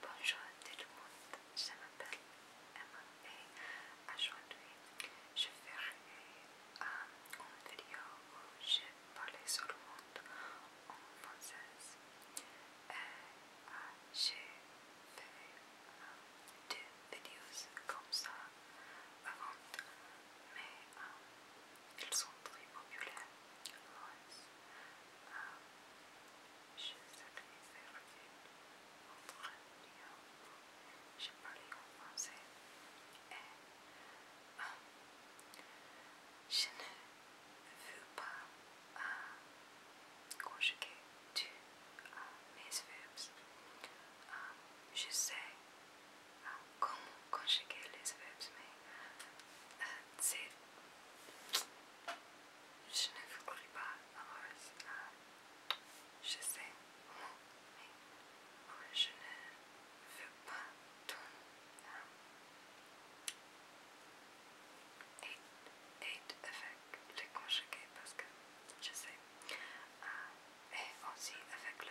Bonjour tout le monde, je m'appelle Emma et aujourd'hui je ferai euh, une vidéo où je le monde en français. Et, j'ai fait deux vidéos comme ça avant, mais euh, ils sont très populaires. Je je ne veux pas conjuguer tous mes verbes. je sais comment conjuguer les verbs mais euh, c'est je ne vous pas ah, je sais, mais je ne veux pas tout avec le conjugué parce que je sais. Ah, et aussi avec le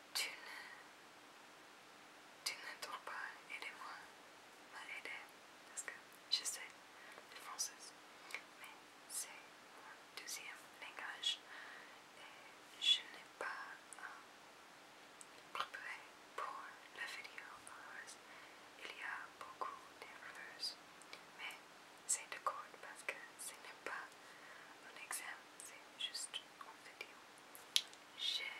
Tu ne, dois pas, aider moi m'aider, parce que je sais le français, mais c'est mon deuxième langage et je n'ai pas euh, préparé pour la vidéo Il y a beaucoup de d'erreurs, mais c'est de court parce que ce n'est pas un examen c'est juste en vidéo. J'ai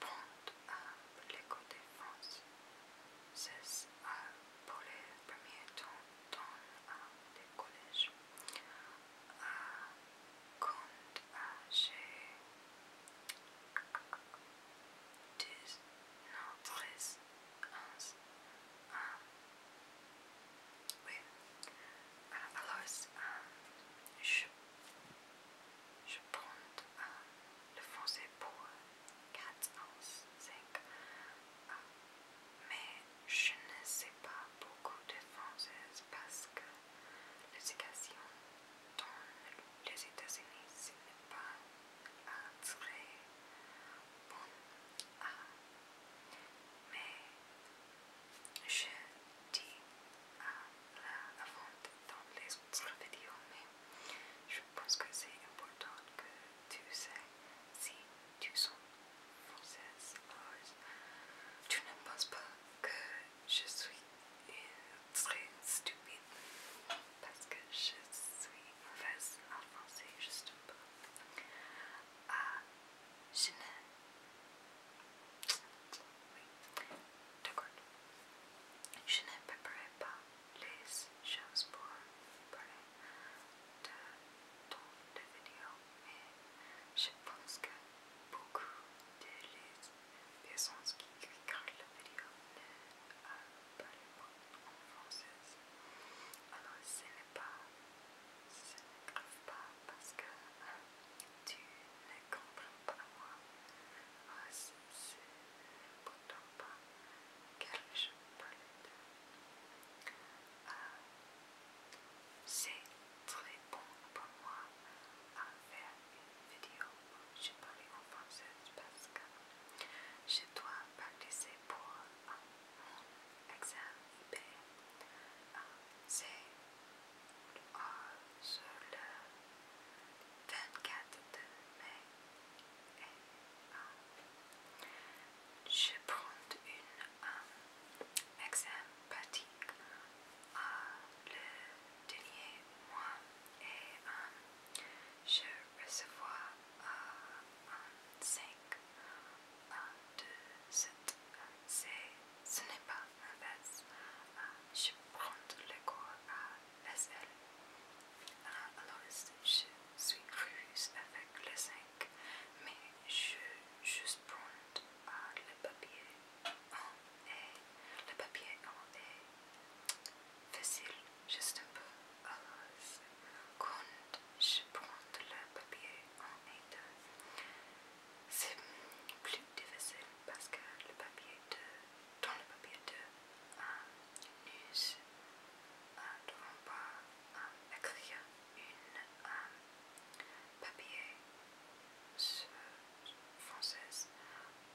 pente à l'éco France. C'est pour les premiers temps dans les collèges. Quand j'ai 10, non 13, 11, 1, oui. alors, euh, je, prends euh, le français pour 4 euh, ans, 5. ans, mais je ne sais pas beaucoup de français parce que l'éducation dans les États-Unis, n'est pas très bon mais je dis à la vente dans les autres vidéos, mais je pense que c'est important que tu sais si tu sens française, tu ne penses pas que je suis très stupide parce que je suis mauvaise en français, juste un ah, je ne... Oui, d'accord. Je ne préparerai pas les choses pour parler de ton vidéo, mais je pense que beaucoup de les personnes qui regardent la vidéo ne parlent pas en français. Alors ce n'est pas ça grave pas parce que tu ne comprends pas moi. c'est pourtant pas car je parle euh, c'est très bon pour moi à faire une vidéo où je parle en français parce que je dois laisser pour exacerbé, c'est sur le 24 mai et je prends un examen pratique le dernier mois et je recevoir uh, 5 1, 2, 7, ce n'est pas un ah, je prends le corps à SL, ah, alors je suis ruse avec le 5, mais je juste prends ah, le papier en et le papier en est facile juste un peu à l'aise. quand je prends le papier en état. C'est plus difficile parce que le papier dans le papier de euh, nous ne devons pas euh, écrire une euh, papier français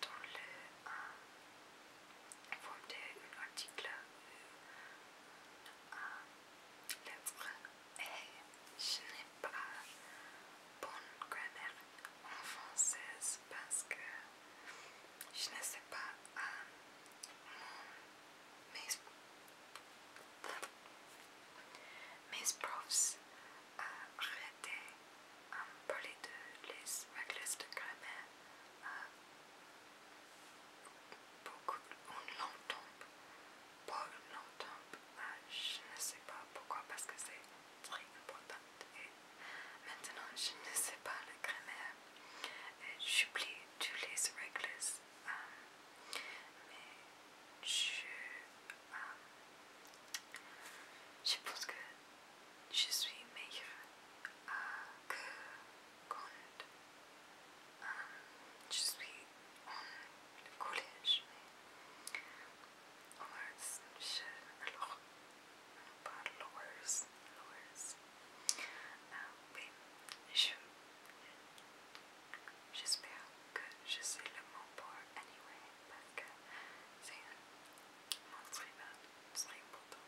dans le euh, vorm der un article, euh, l'œuvre et Je n'ai pas bonne grammaire en française parce que je ne sais pas euh, mon, mes, profs euh, arrêtaient arrêté me parler de les règles de grammaire. Euh, Beaucoup, on pas Paul l'entombe, longtemps je ne sais pas pourquoi, parce que c'est très important. Et maintenant, je ne sais pas la grammaire. J'oublie tous les règles, euh, mais je, euh, je pense que je suis meilleure euh, que quand um, je suis collège, mais Omars, je, alors, pas Lowers, Lowers, ah oui, je, j'espère que je sais anyway, parce que important.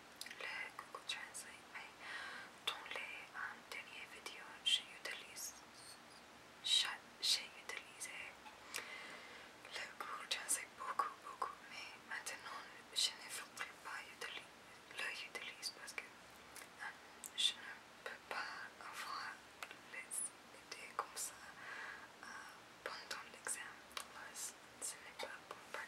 le Google Translate, mais dans les um, dernières vidéos, j'utilise le Google Translate beaucoup, beaucoup, mais maintenant je ne ferai pas le utiliser parce que um, je ne peux pas avoir les idées comme ça euh, pendant l'examen, ce n'est pas pour bonne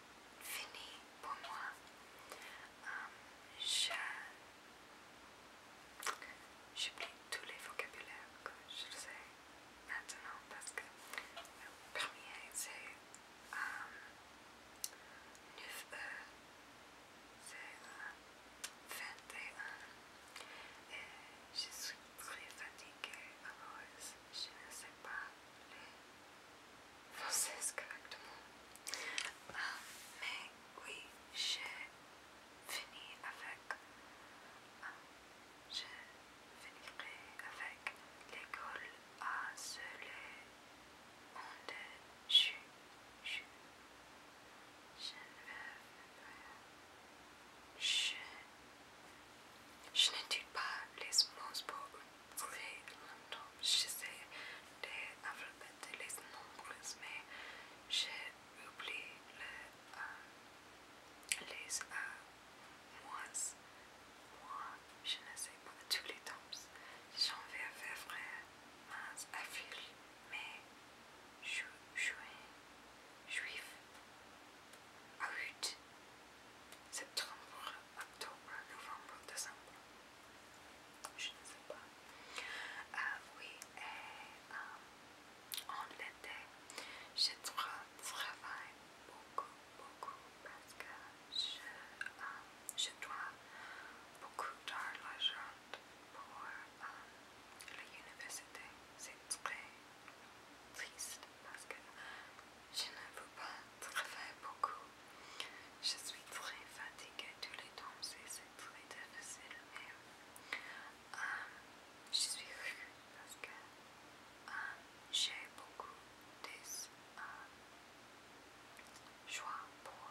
fini pour moi. Euh, j'ai J'oublie tous les vocabulaires que je sais maintenant parce que le premier euh, e, c'est 9e, c'est 21 21 et je suis très fatiguée, alors je ne sais pas française correctement. Ah, mais oui, j'ai fini avec. Euh, ah, je finirai avec l'école à se en je chu. Je ne veux Je n'étudie pas les mots les longtemps, je sais les les nombres, mais j'ai oublié euh, les euh, mois, mois. Moi, je ne sais pas tous les temps. J'en vais faire mars, avril, mai, à juin, juif, août, septembre, octobre, novembre, décembre. Je ne sais pas. Euh, oui, et euh, en été, je dois travaille beaucoup, beaucoup parce que je, euh, dois beaucoup d'argent pour l'université. C'est très triste parce que je ne veux pas travailler beaucoup. Je suis très fatiguée tous les temps c'est très difficile, euh, je suis heureuse parce que euh, j'ai beaucoup de euh, joie pour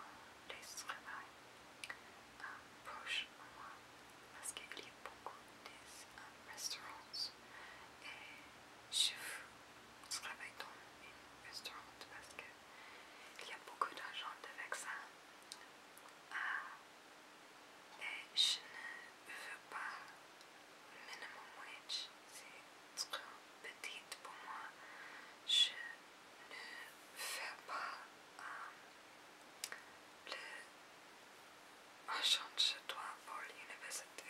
les travail proche de moi parce qu'il y a beaucoup de restaurants et je veux je travaille dans un restaurant parce qu'il y a beaucoup d'argent avec ça et je ne veux pas minimum wage, c'est trop petit pour moi. Je ne veux pas plus euh, le chez toi pour l'université.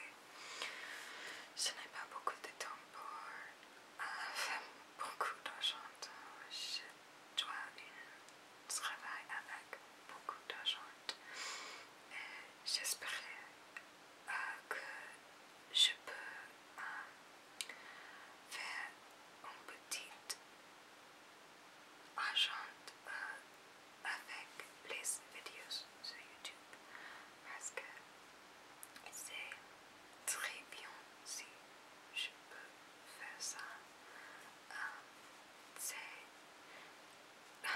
Je n'ai pas beaucoup de temps pour euh, faire beaucoup d'argent. Je dois avec beaucoup d'argent. J'espérais j'espère euh, que je peux euh, faire une petit argent avec les vidéos sur YouTube parce que c'est très bien si je peux faire ça. Euh, c'est euh,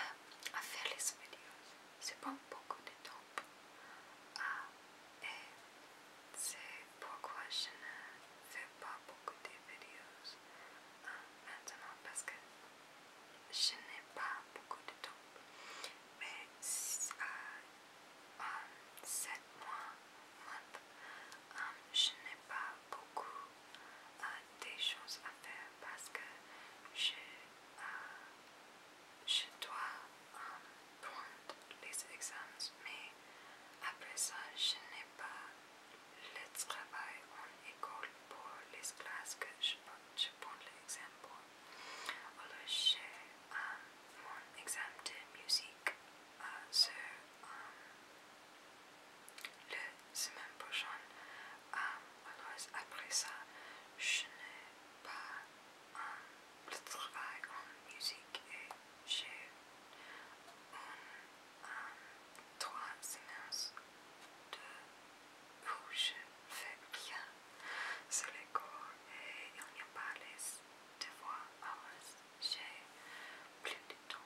à faire les vidéos, c'est pas beaucoup de temps euh, et c'est pourquoi je ne fais pas beaucoup de vidéos maintenant parce que je n'ai pas beaucoup de temps, mais 7 euh, mois, euh, je n'ai pas beaucoup euh, de choses à faire parce que je, je dois prendre les examens, mais après ça, je n'ai pas le travail en école pour les classes que je, je prends examens pour. Alors, je um, mon examen de musique sur uh, um, le semaine prochaine. Um, alors après ça, je n'ai pas le travail en musique et j'ai trois semaines de je fais bien sur les corps et il n'y a pas les devoirs alors J'ai plus de temps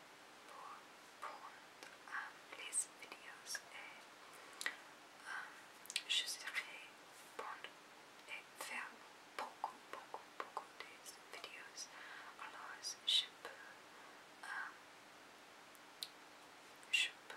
pour prendre les vidéos et euh, je serai bonne et faire beaucoup, beaucoup, beaucoup de vidéos. Alors je peux... Euh, je peux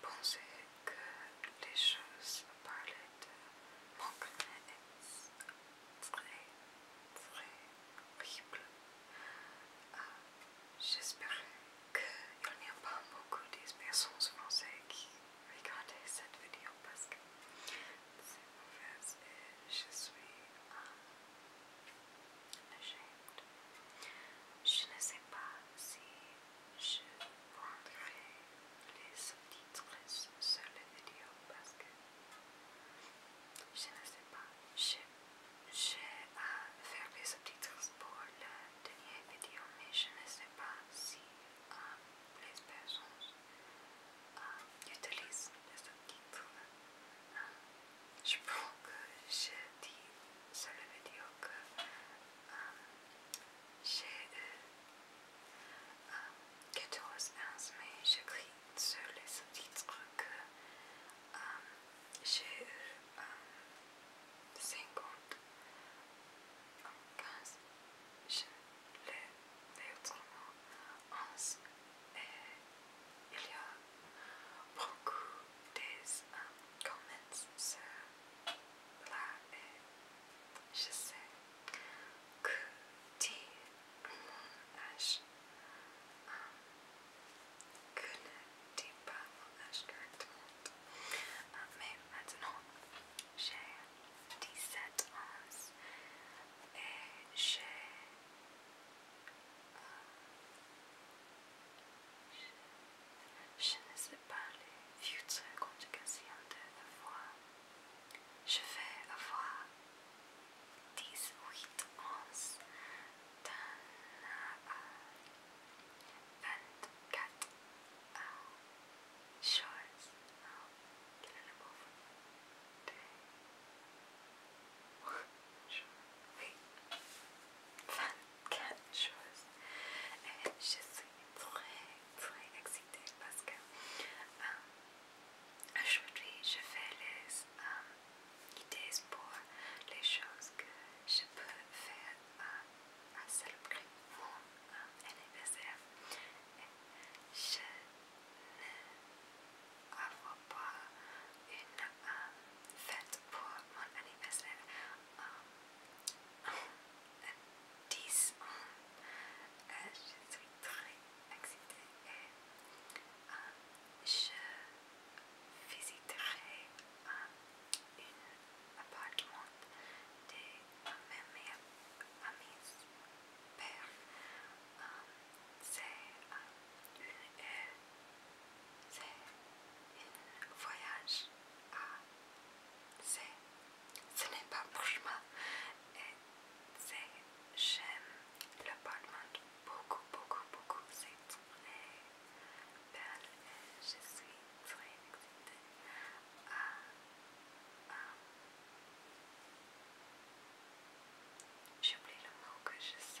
pensé que les choses parlaient de manquement est très très horrible. Euh, J'espère qu'il n'y a pas beaucoup de personnes françaises qui regardaient cette vidéo parce que c'est mauvaise et je suis euh, je ne sais pas si je prendrai les sous-titres sur les vidéos parce que je ne sais pas. je à euh, faire les sous-titres pour la dernière vidéo, mais je ne sais pas si euh, les personnes euh, utilisent les sous-titres. Hein je pense que j'ai dit, sur la vidéo que euh, euh, euh, j'ai eu 14 ans, mais j'écris sur les sous-titres que j'ai eu 50 15, je l'ai autrement 11 et il y a beaucoup des um, comments sur là et je sais que dit mon âge que ne dit pas mais maintenant j'ai 17 ans et j'ai Je ne sais pas les futures conjugations de avoir. Je vais avoir 18 onces d'un à 24 choses. Non, quel est le mot Oui, 24 et je suis très très excitée parce que euh, aujourd'hui je fais les euh, idées pour les choses que je peux faire euh, à à célébrer mon euh, anniversaire. Et je ne pas une um, fête pour mon anniversaire euh, 10 ans. je suis très excitée et um, je visiterai um, un appartement de mes amis père. C'est une heure c'est un voyage à c'est ce n'est pas pour moi et c'est j'aime le parlement beaucoup beaucoup beaucoup c'est très belle et je suis très excitée J'oublie le mot que je sais.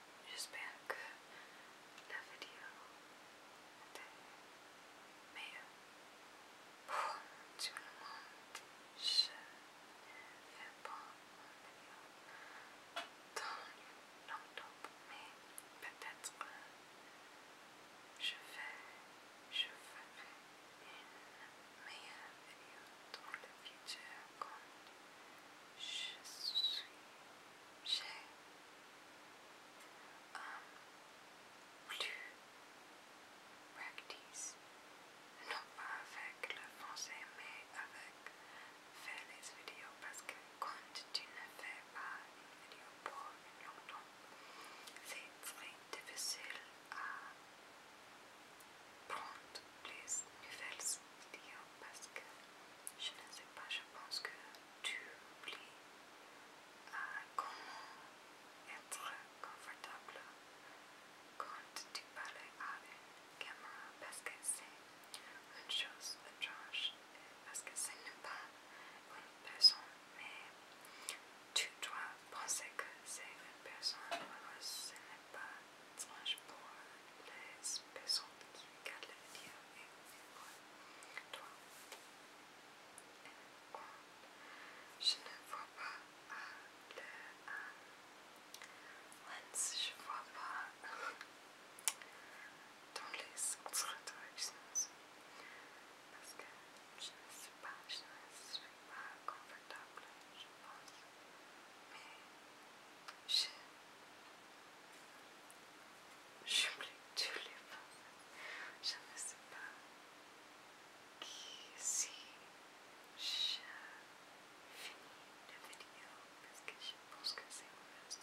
J'espère que la vidéo était meilleure. Pour tout le monde, je ne fais pas une dans mais peut-être je vais, je ferai une meilleure vidéo dans le futur quand je suis j'ai um, plus practice, non pas avec le français mais avec faire les vidéos parce que quand tu ne fais pas une vidéo pour longtemps, c'est très difficile à prendre les nouvelles vidéos parce que je ne sais pas, je pense que tu oublies ah, comment être confortable quand tu parles avec une parce que c'est une chose étrange, parce que ce n'est pas une personne, mais tu dois penser que c'est une personne, alors ce n'est pas étrange pour les personnes qui regardent la vidéo. Toi, je ne vois pas le je vois pas dans les sens parce que je ne sais pas, je ne suis pas confortable, je pense, mais je J'oublie tous les Je ne sais pas qui, si je finis la vidéo parce que je pense que c'est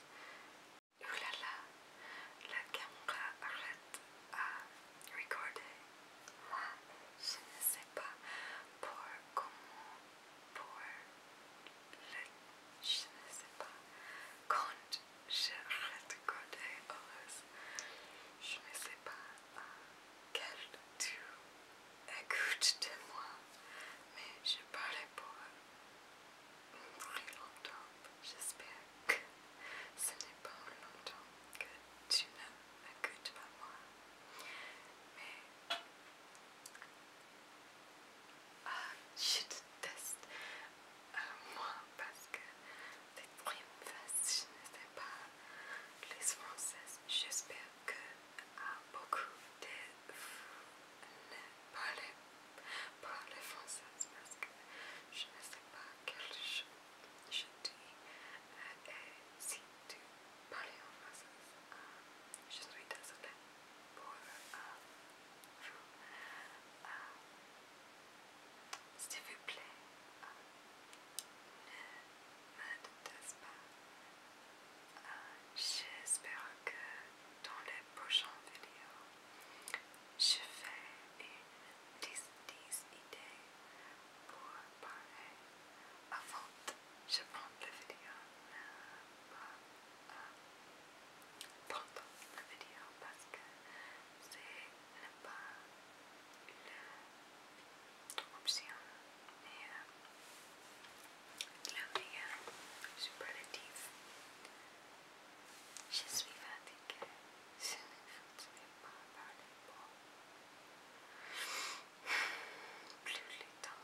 voilà Ouh là la caméra arrête de recorder. Moi, je ne sais pas pour comment pour je ne sais pas, quand je recordais heureuse, je ne sais pas à quel tu écoutes de moi, mais je parlais pour très longtemps. J'espère que ce n'est pas longtemps que tu ne pas moi. Mais ah, je déteste euh, moi parce que c'est prime facile. je ne sais pas les françaises. J'espère que ah, beaucoup de vous ne parlez pas les françaises parce que je ne sais pas quel chose je dis. Euh, et si tu parles en français, ah, je suis désolée pour, vous, s'il vous plaît, ne me déteste pas. J'espère que dans les prochaines vidéos, je ferai 10, idées pour parler avant de je prends la vidéo euh, euh, pendant la vidéo parce que c'est pas l'option mais euh, le meilleur superlatif je suis fatiguée je ne vais pas parler pour plus longtemps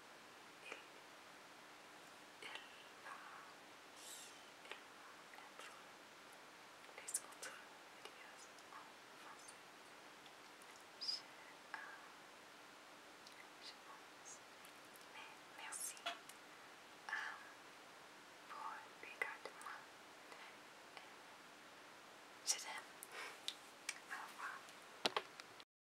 va être les autres vidéos en français. Je, pense. Mais merci euh, pour le regard de moi euh, Je t'aime. Au revoir.